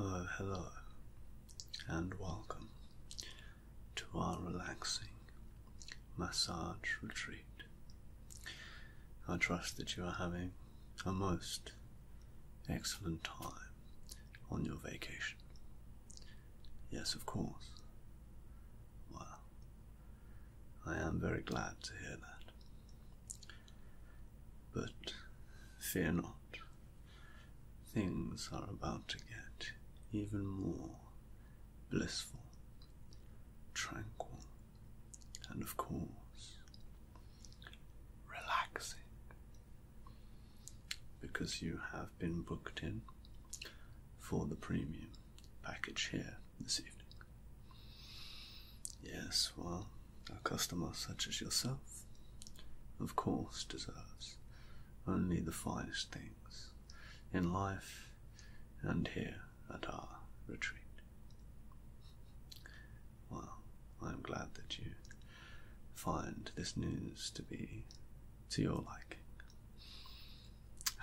Oh, hello, and welcome to our relaxing massage retreat. I trust that you are having a most excellent time on your vacation. Yes, of course. Well, I am very glad to hear that. But fear not, things are about to get even more blissful, tranquil, and of course, relaxing because you have been booked in for the premium package here this evening. Yes, well, a customer such as yourself, of course, deserves only the finest things in life and here at our retreat. Well, I'm glad that you find this news to be to your liking?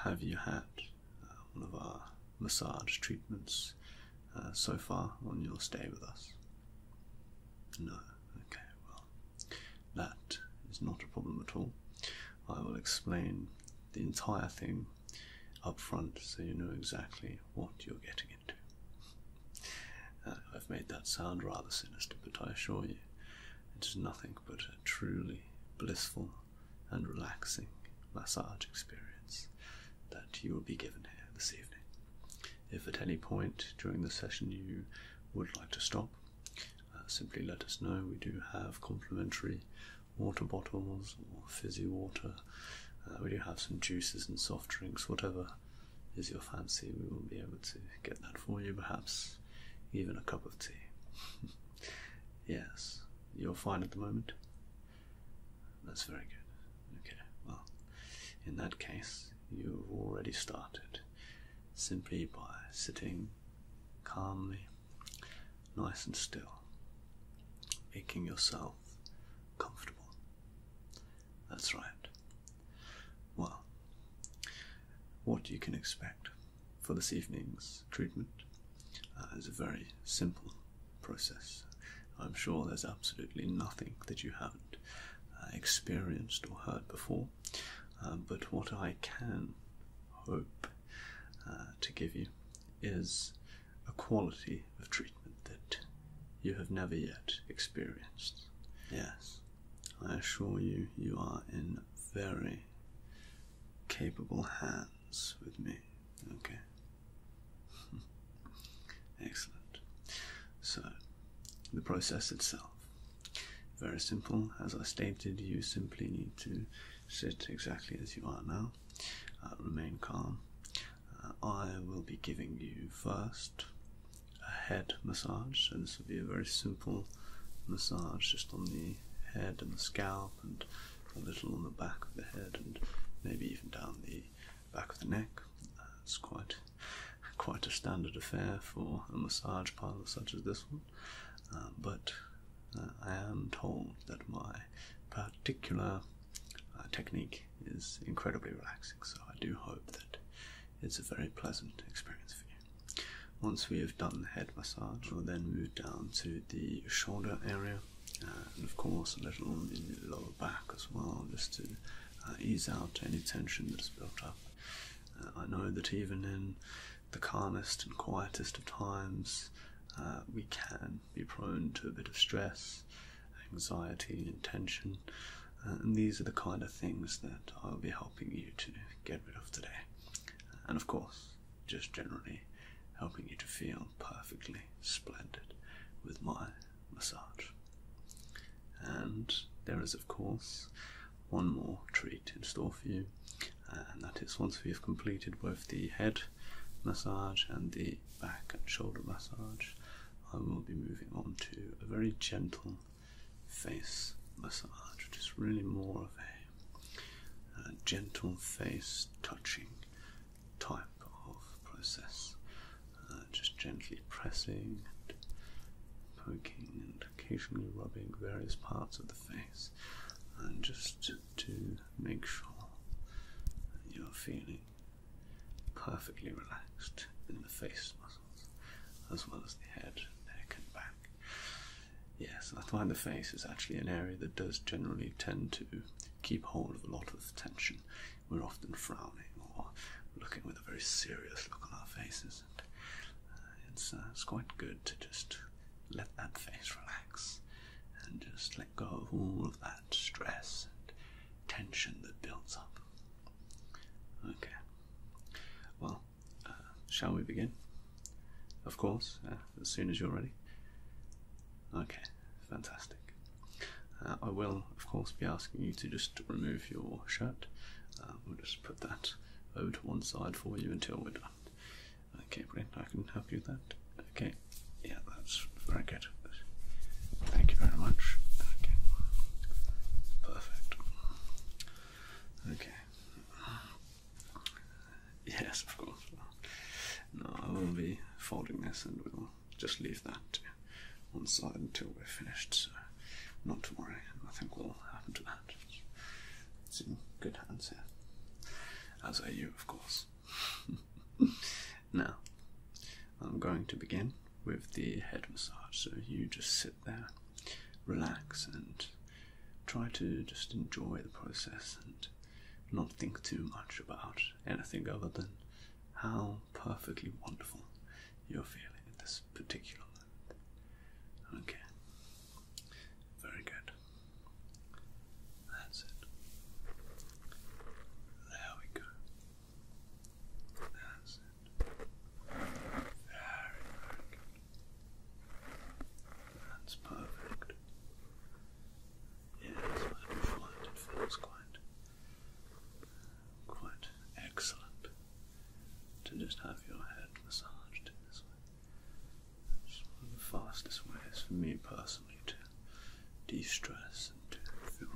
Have you had uh, one of our massage treatments uh, so far on your stay with us? No. Okay, well, that is not a problem at all. I will explain the entire thing up front so you know exactly what you're getting uh, I've made that sound rather sinister, but I assure you it is nothing but a truly blissful and relaxing massage experience that you will be given here this evening. If at any point during the session you would like to stop, uh, simply let us know. We do have complimentary water bottles or fizzy water. Uh, we do have some juices and soft drinks, whatever is your fancy, we will be able to get that for you, perhaps even a cup of tea. yes, you're fine at the moment. That's very good. Okay, well, in that case, you've already started simply by sitting calmly, nice and still, making yourself comfortable. That's right. Well, what you can expect for this evening's treatment uh, is a very simple process. I'm sure there's absolutely nothing that you haven't uh, experienced or heard before, um, but what I can hope uh, to give you is a quality of treatment that you have never yet experienced. Yes. I assure you, you are in very capable hands with me. Okay. Excellent. So, the process itself. Very simple. As I stated, you simply need to sit exactly as you are now, uh, remain calm. Uh, I will be giving you first a head massage. So this would be a very simple massage just on the head and the scalp and a little on the back of the head and maybe even down the back of the neck. it's quite quite a standard affair for a massage parlor such as this one. Uh, but uh, I am told that my particular uh, technique is incredibly relaxing. So I do hope that it's a very pleasant experience for you. Once we have done the head massage, we'll then move down to the shoulder area, and of course a little on the lower back as well, just to uh, ease out any tension that's built up. Uh, I know that even in the calmest and quietest of times, uh, we can be prone to a bit of stress, anxiety, and tension. Uh, and, these are the kind of things that I'll be helping you to get rid of today. Uh, and of course, just generally helping you to feel perfectly splendid with my massage. And there is, of course, one more treat in store for you, uh, and that is once we have completed both the head massage and the back and shoulder massage, I will be moving on to a very gentle face massage, which is really more of a, uh, gentle face touching type of process. Uh, just gently pressing and poking and occasionally rubbing various parts of the face, and just to, make sure you're feeling perfectly relaxed in the face muscles as well as the head, neck, and back. Yes, that's why the face is actually an area that does generally tend to keep hold of a lot of tension. We're often frowning or looking with a very serious look on our faces. And, uh, it's, uh, it's quite good to just let that face relax and just let go of all of that stress and tension that builds up. Okay. Well, uh, shall we begin? Of course, uh, as soon as you're ready. Okay, fantastic. Uh, I will, of course, be asking you to just remove your shirt. we'll just put that over to one side for you until we're done. Okay, brilliant. I can help you with that. Okay, yeah, that's very good. Thank you very much. Okay. Perfect. Okay. Yes, of course. No, I will be folding this and we'll just leave that on side until we're finished, so not to worry, nothing will happen to that. It's in good hands here. As are you, of course. now, I'm going to begin with the head massage. So you just sit there, relax, and try to just enjoy the process and not think too much about anything other than how perfectly wonderful you're feeling in this particular moment. Okay. Very good. That's it. There we go. That's it. Very, good. That's perfect. Yes, I it feels quite, quite excellent to just have your head massaged in this way. It's one of the fastest ways for me personally to de-stress and feel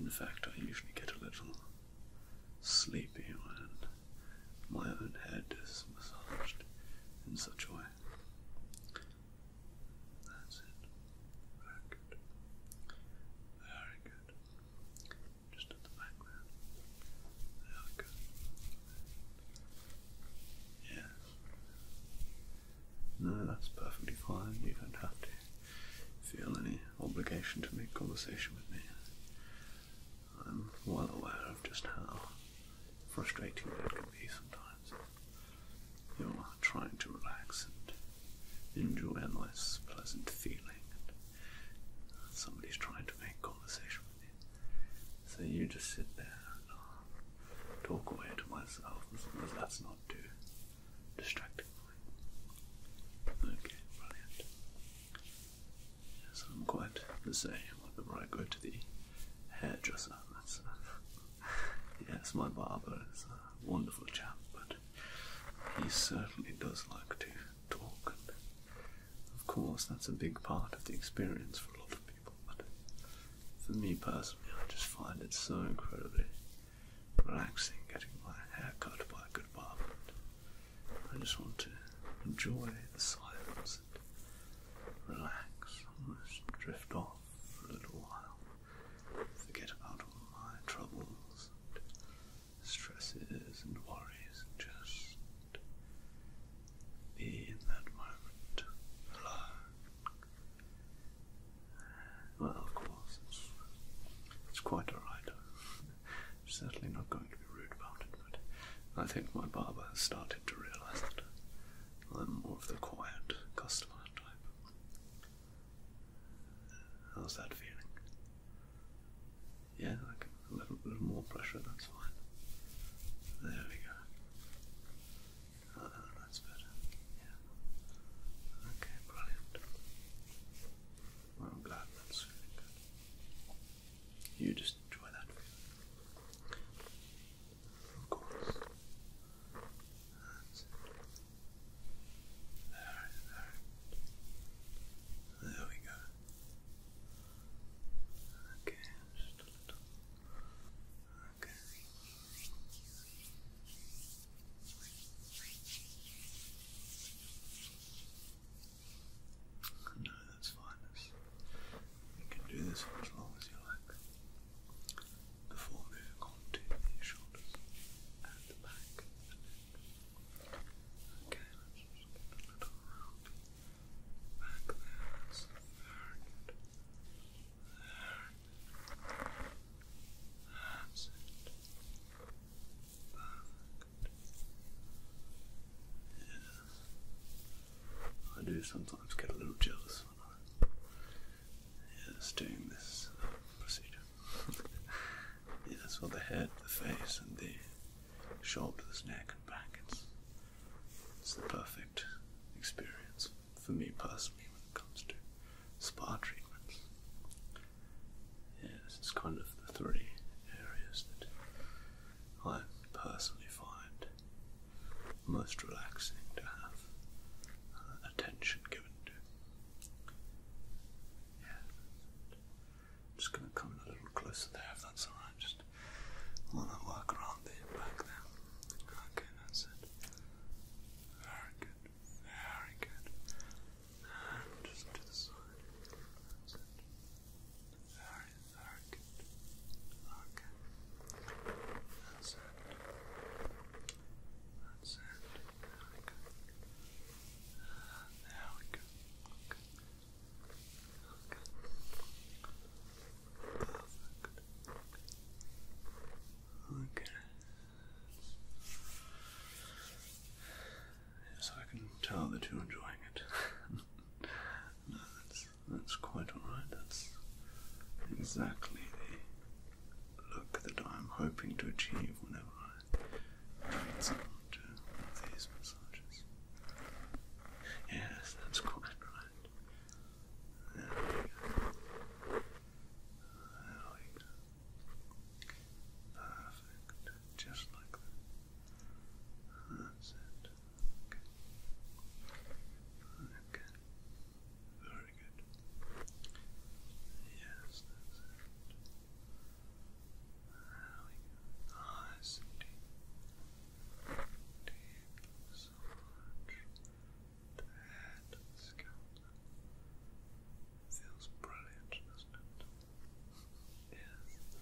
In fact, I usually get a little sleepy when my own head is massaged in such a way. That's it. Very good. Very good. Just at the back there. There we No, that's perfectly fine. You don't have to feel any obligation to make conversation with me. I'm well aware of just how frustrating it can be sometimes. You're trying to relax and enjoy a nice, pleasant feeling, and somebody's trying to make conversation with you. So you just sit there and uh, talk away to myself, and sometimes that's not due distracting point. Okay, brilliant. Yes, I'm quite the same whenever I go to the hairdresser. That's, uh, yes, my barber is a wonderful chap, but he certainly does like to talk. of course, that's a big part of the experience for a lot of people, but for me personally, I just find it so incredibly relaxing, getting my hair cut by a good barber. I just want to enjoy the silence and relax, almost drift off for a little while, forget about all my troubles and stresses and worries, and just be in that moment alone. Well, of course, it's, quite alright. certainly not going to be rude about it, but I think my barber has started to realise that I'm more of the quiet customer type. How's that feeling? Yeah, like a little, more pressure, that's fine. There we go. Uh, that's better. Yeah. Okay, brilliant. I'm glad that's good. You just enjoy that. Of course. There, we go. Okay, Okay. No, that's fine. That's, you can do this for as long as you like before moving on to the shoulders and the back Okay, let's just get a little back there. That's very I do sometimes get a little jealous when I'm yes, doing this procedure. yes, well, the head, the face, and the shoulders, neck, and back. It's, it's the perfect experience for me personally when it comes to spa treatments yeah, this is kind of the three areas that I personally find most relaxing to have uh, attention given to. Yeah, just going to come in a little closer there if that's alright. Just want to work around the back there. Okay, that's it. Very good. Very good. just to the side. Very, very good. Okay. That's it. That's it. Very good. And there we go. Okay. Okay. Perfect. Okay. Yes, I can tell that you're enjoying it. no, that's that's quite alright. That's exactly the look that I'm hoping to achieve whenever I treat someone to one of these massages. Yes, that's quite right. There we go. There we go. Perfect. Just like that. That's it. Okay. Very good. Yes, that's it. There we go. Nice and deep. Deep Head scalp. Feels brilliant, doesn't it? Yes,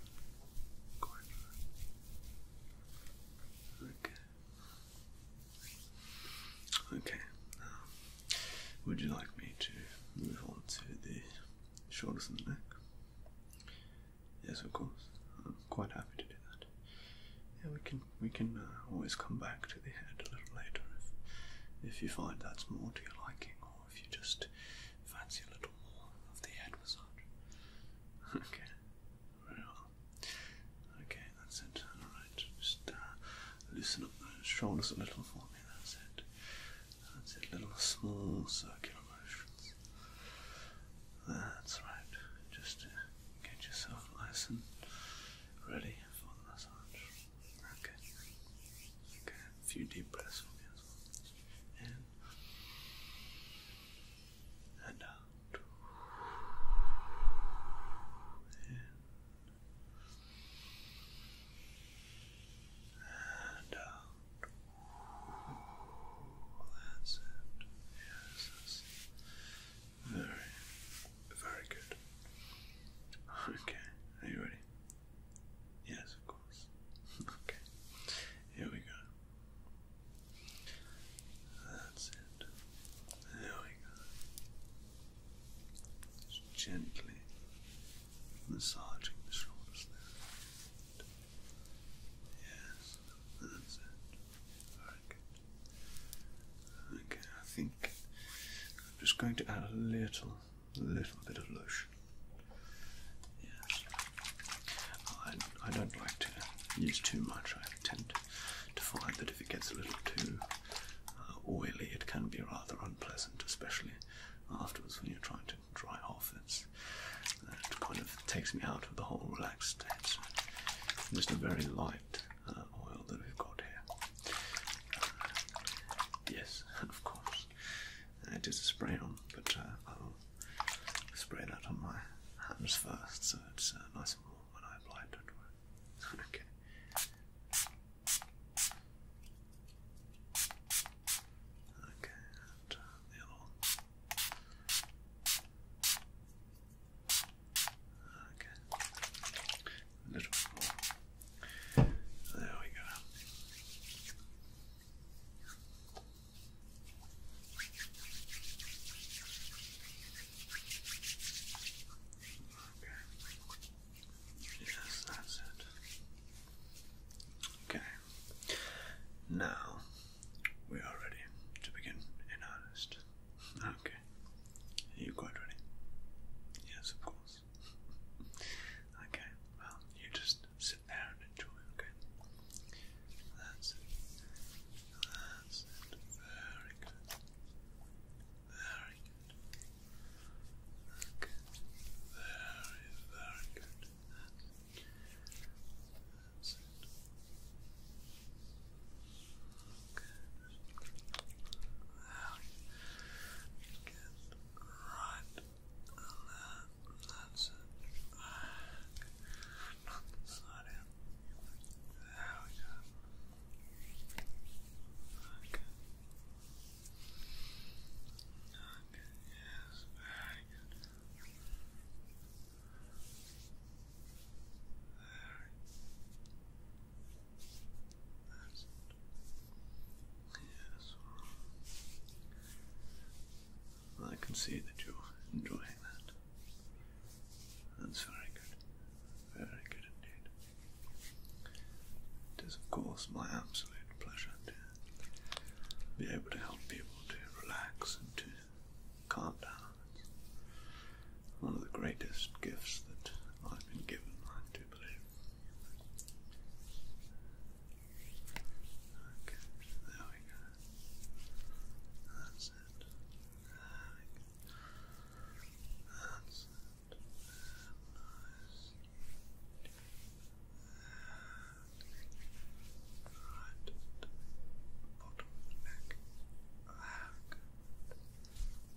quite Okay. Okay, would you like me to move on to the shoulders and the neck? Yes, of course. I'm quite happy to do that. Yeah, we can we can uh, always come back to the head a little later if, if you find that's more to your liking or if you just fancy a little more of the head massage. Okay, very well. Okay, that's it. Alright, just uh, loosen up those shoulders a little for me. That's it. That's it. Little small circular motions. That's right. Just uh, get yourself nice and ready for the massage. Okay. Okay. A few deep breaths for me as well. and out. and out. That's it. Yes, very very good. Okay, are you ready? Yes, of course. okay, here we go. That's it. There we go. Just gently massaging the shoulders there. Yes, that's it. Very good. Okay, I think I'm just going to add a little, little bit of lotion. Yes. I, I don't like to use too much. I tend to find that if it gets a little too uh, oily, it can be rather unpleasant, especially afterwards when you're trying to dry off. It's, it kind of takes me out of the whole relaxed state. just a very light uh, oil that we've got here. Uh, yes, of course. Uh, it is a spray on, but uh, I'll spray that on my hands first so it's nice and warm when I apply it, don't worry. okay. Okay, Okay a little more. There we go. Okay. Yes, that's it. Okay. Now we are ready to begin in earnest. Okay. you quite ready? Yes, of course nice. Okay, well, you just sit there and enjoy, okay? That's it. That's it. Very good. Very good. Very, very good. That's it. Now you get right and that's it. Back. in. There we go. Okay. yes, very good. Very yes. Well, I can see that you're enjoying that. That's very good. Very good indeed. It is, of course, my absolute pleasure to be able to help people to relax and to calm down. It's one of the greatest gifts that I've been given, like, to blue. Okay, there we go. That's it. That's it. Nice. right bottom neck. There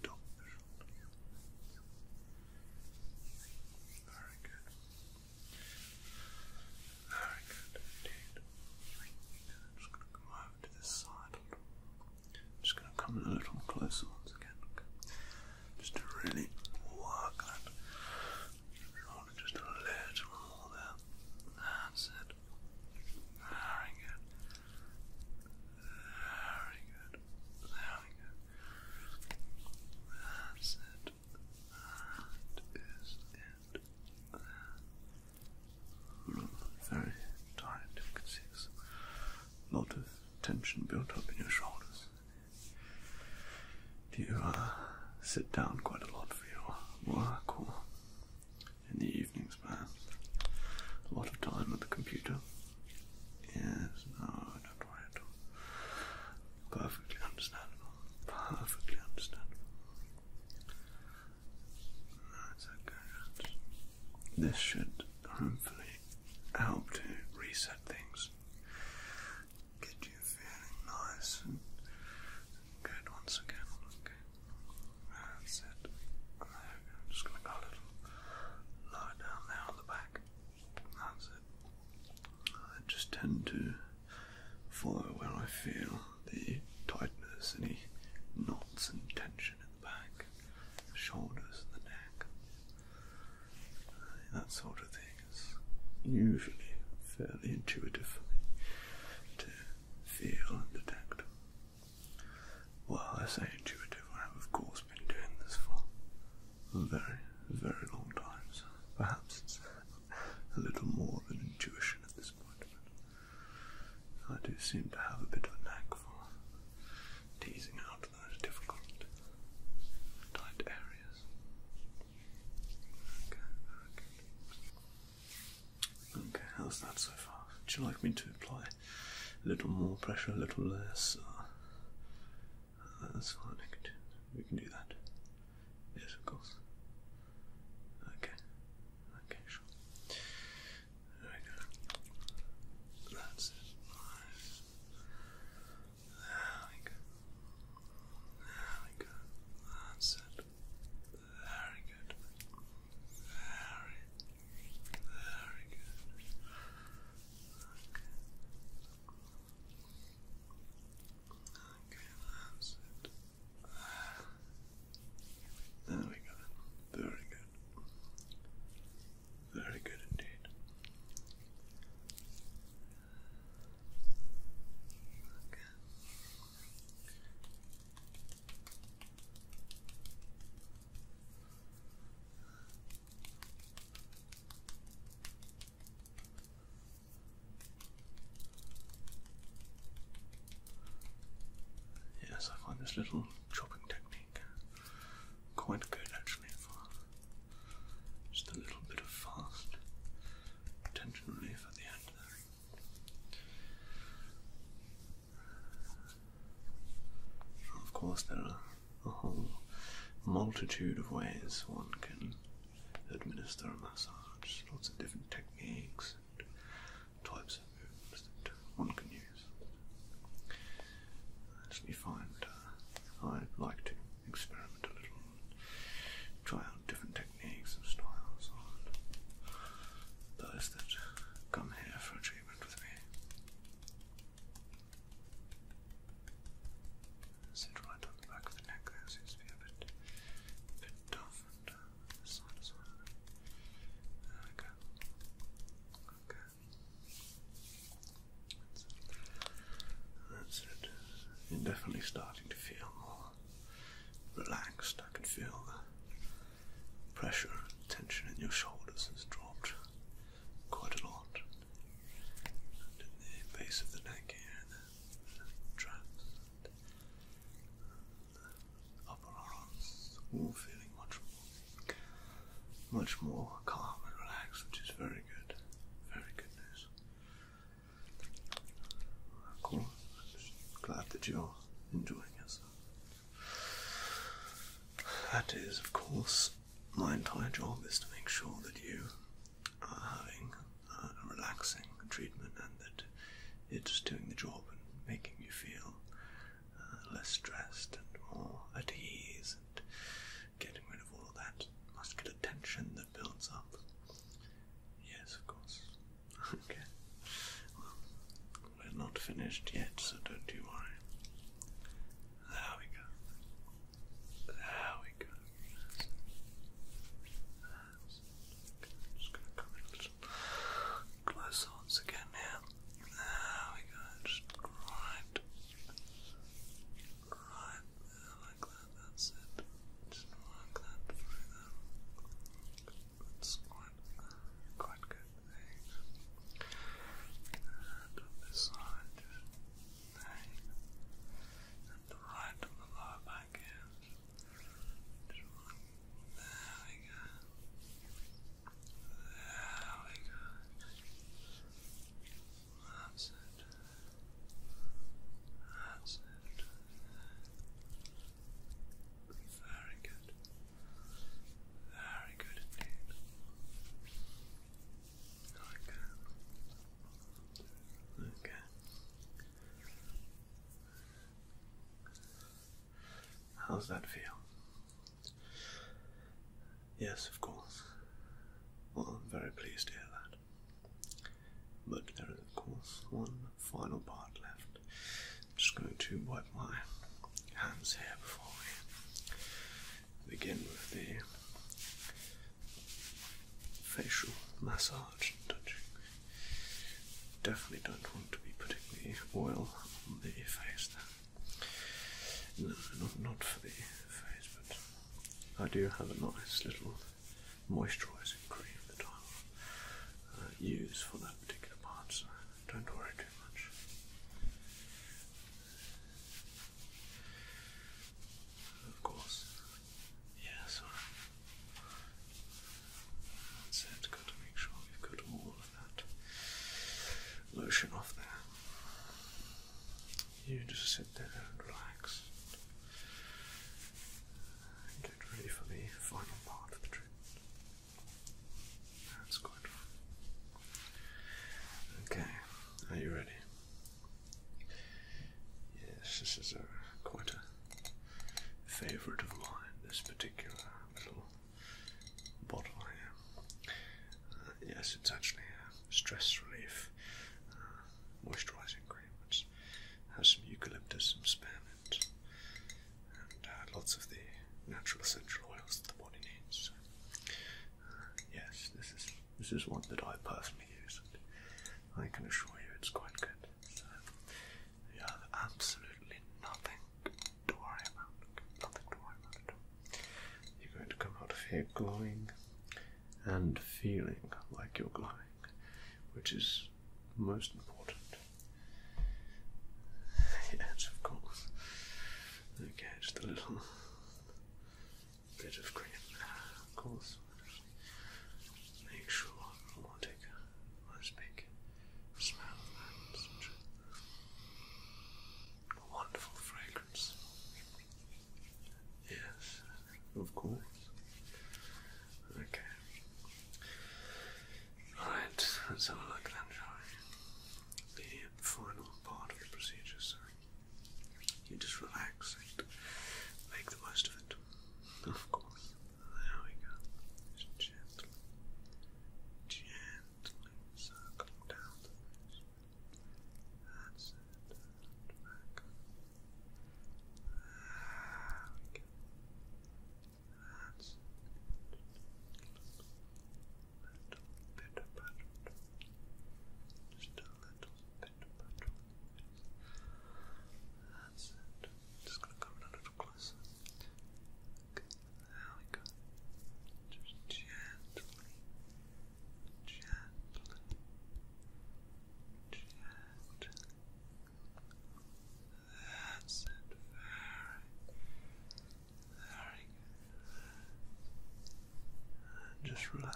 Top very good. Very good I'm just going to come over to this side. just going to come a little closer once again. Just to really work that just a little there. That's it. Very good. Very good. Very good. That's it. it. Very tight. You can see there's lot of tension built up in your shoulders. Do you sit down quite a lot for your work in the evenings, perhaps? A lot of time at the computer. Yes, no, not right. Perfectly understandable. Perfectly understandable. That's okay. This should hopefully help to reset things. Get you feeling nice and good once again. Okay. That's it. I'm just gonna go a little lie down there on the back. That's it. I just tend to follow where I feel the tightness, any knots and tension in the back, the shoulders, the neck. Uh, that sort of thing is usually fairly intuitive for me to feel and detect. Well, I say intuitive, I have of course been doing this for a very, very long time, so perhaps it's a little more than intuition at this point. I do seem to have a bit of a knack for teasing out those difficult, tight areas. Okay, very Okay, how's that so far? Would you like me to apply a little more pressure, a little less. that's fine. I can do, we can do that. Yes, of course. Okay. Okay, sure. There we go. That's it. There we go. There we go. That's it. Very good. Very very good. Okay. that's it. There we go. Very good. Very good indeed. Okay. Yes, I find this little chopping technique quite good actually for just a little bit of fast tension relief at the end of course, there are a whole multitude of ways one can administer a massage, lots of different techniques and types of moves that one can use. As actually find uh, I like to experiment a little try out different techniques and styles on those that come here for a treatment with me. Sit right on the back of the neck there, seems a bit, bit tough, and uh, this side There we go. Okay. That's it. That's definitely starting to feel more relaxed. I can feel the pressure, and tension in your shoulders has dropped quite a lot. And in the base of the neck here, the, traps, the upper arms, all feeling much more, much more calm and relaxed, which is very good, very good news. Cool. I'm glad that you're enjoying yourself. That is, of course, my entire job is to make sure that you are having uh, a relaxing treatment and that it's doing the job and making you feel uh, less stressed and more at ease and getting rid of all that muscular tension that builds up. Yes, of course. okay. We're not finished yet, so don't you worry. There we go. There we go. just going to come in a little closer once again here. There we go. Just right, right like that. That's it. Just work that through there. That's quite, quite good. And on this side, the right on the lower There we go. There we go. That's it. That's it. Very good. Very good indeed. Okay. Okay. How's that feel? Yes, of course. Well, I'm very pleased to hear that. But there is, of course, one final part left. I'm just going to wipe my hands here before we begin with the facial massage Definitely don't want to be putting the oil on the face there. No, not, for the face, but I do have a nice little moisturising cream that I'll uh, use for that particular part, don't worry too much. Of course. Yes, That's it. Got to make sure we've got all of that lotion off there. You just sit there and relax. get ready for the final part of the treatment. That's good. Okay, are you ready? Yes, this is a quite a favourite of mine. This particular little bottle here. Uh, yes, it's actually a stress relief uh, moisturising cream. It has some eucalyptus, and spearmint, and uh, lots of the natural essential oils that the body needs. Uh, yes, this is this is one that I personally use, and I can assure you it's quite good. you have absolutely nothing to worry about. Nothing to worry about You're going to come out of here glowing and feeling like you're glowing, which is most important. yes, of course. Okay, just a little bit of cream of course. Make sure I want to take a smell that. wonderful fragrance. Yes, of course. Okay. Alright, let's have a look the final part of the procedure, so you just relax and make the most of it. Of course. There we go. gently, gently circling down That's it. back hands little bit of butter just a little bit of butter that's it just gonna come a little closer there we go just gently gently gently that's it, very just relax.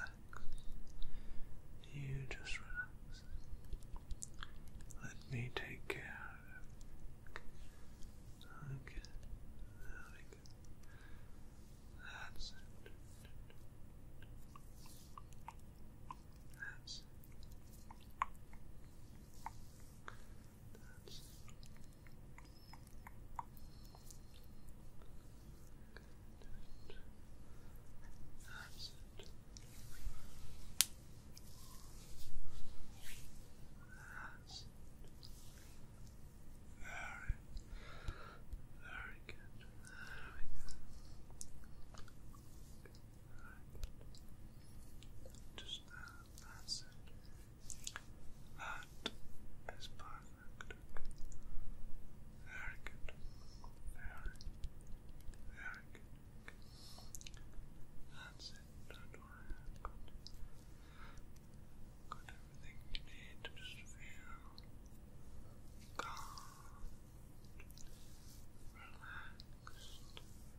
You just relax. Let me take care of it. Okay. That's it. That's it. That's Good. That's it. That's it. Very, very good. There we go. Just that. That's it. That is perfect. Very good. Very, very good. That's it. Don't I've got, everything you need just feel calm, relaxed,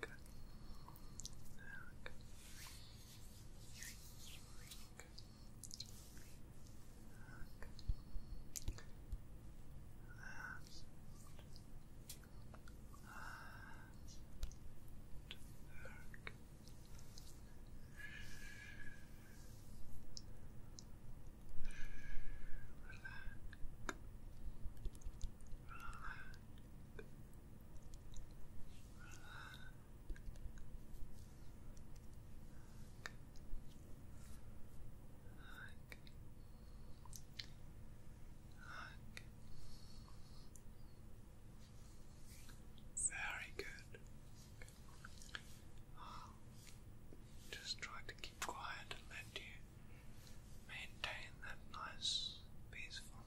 Good. Okay. Okay. Okay. That's Good. Very good. just try to keep quiet and let you maintain that nice, peaceful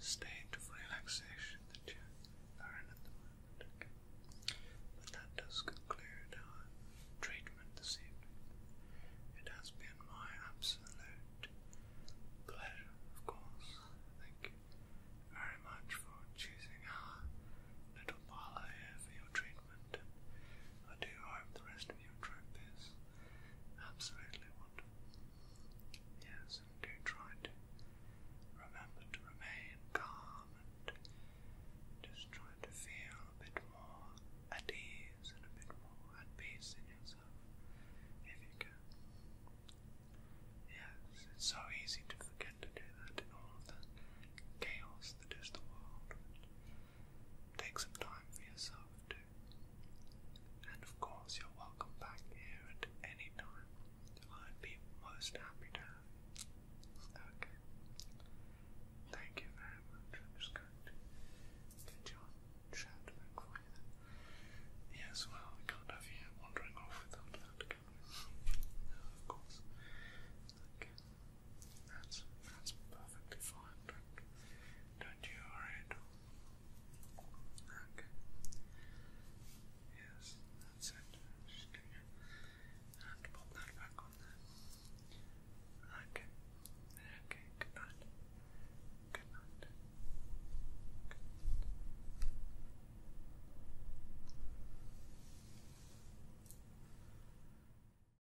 state of relaxation that you are at the moment. But that does conclude our treatment this evening. It has been my absolute pleasure, of course. Thank you very much for choosing our little parlour here for your treatment. I do hope the rest of your trip is absolutely wonderful. Yes, do try to remember to remain calm and just try to feel a bit more at ease and a bit more at peace in yourself if you can. Yes, it's so easy to forget to do that in all of the chaos that is the world. Take some time for yourself too. And of course, you're welcome back here at any time. I'd be most happy to Okay. Thank you very much. I'm just going to get your chat back Yes, well, we can't have you wandering off without that, of course. Like, that's, that's perfectly fine. Don't, you worry at all. Okay. Yes, that's it. Just give you and pop that back on there. Okay. Okay, good night. Good night. Good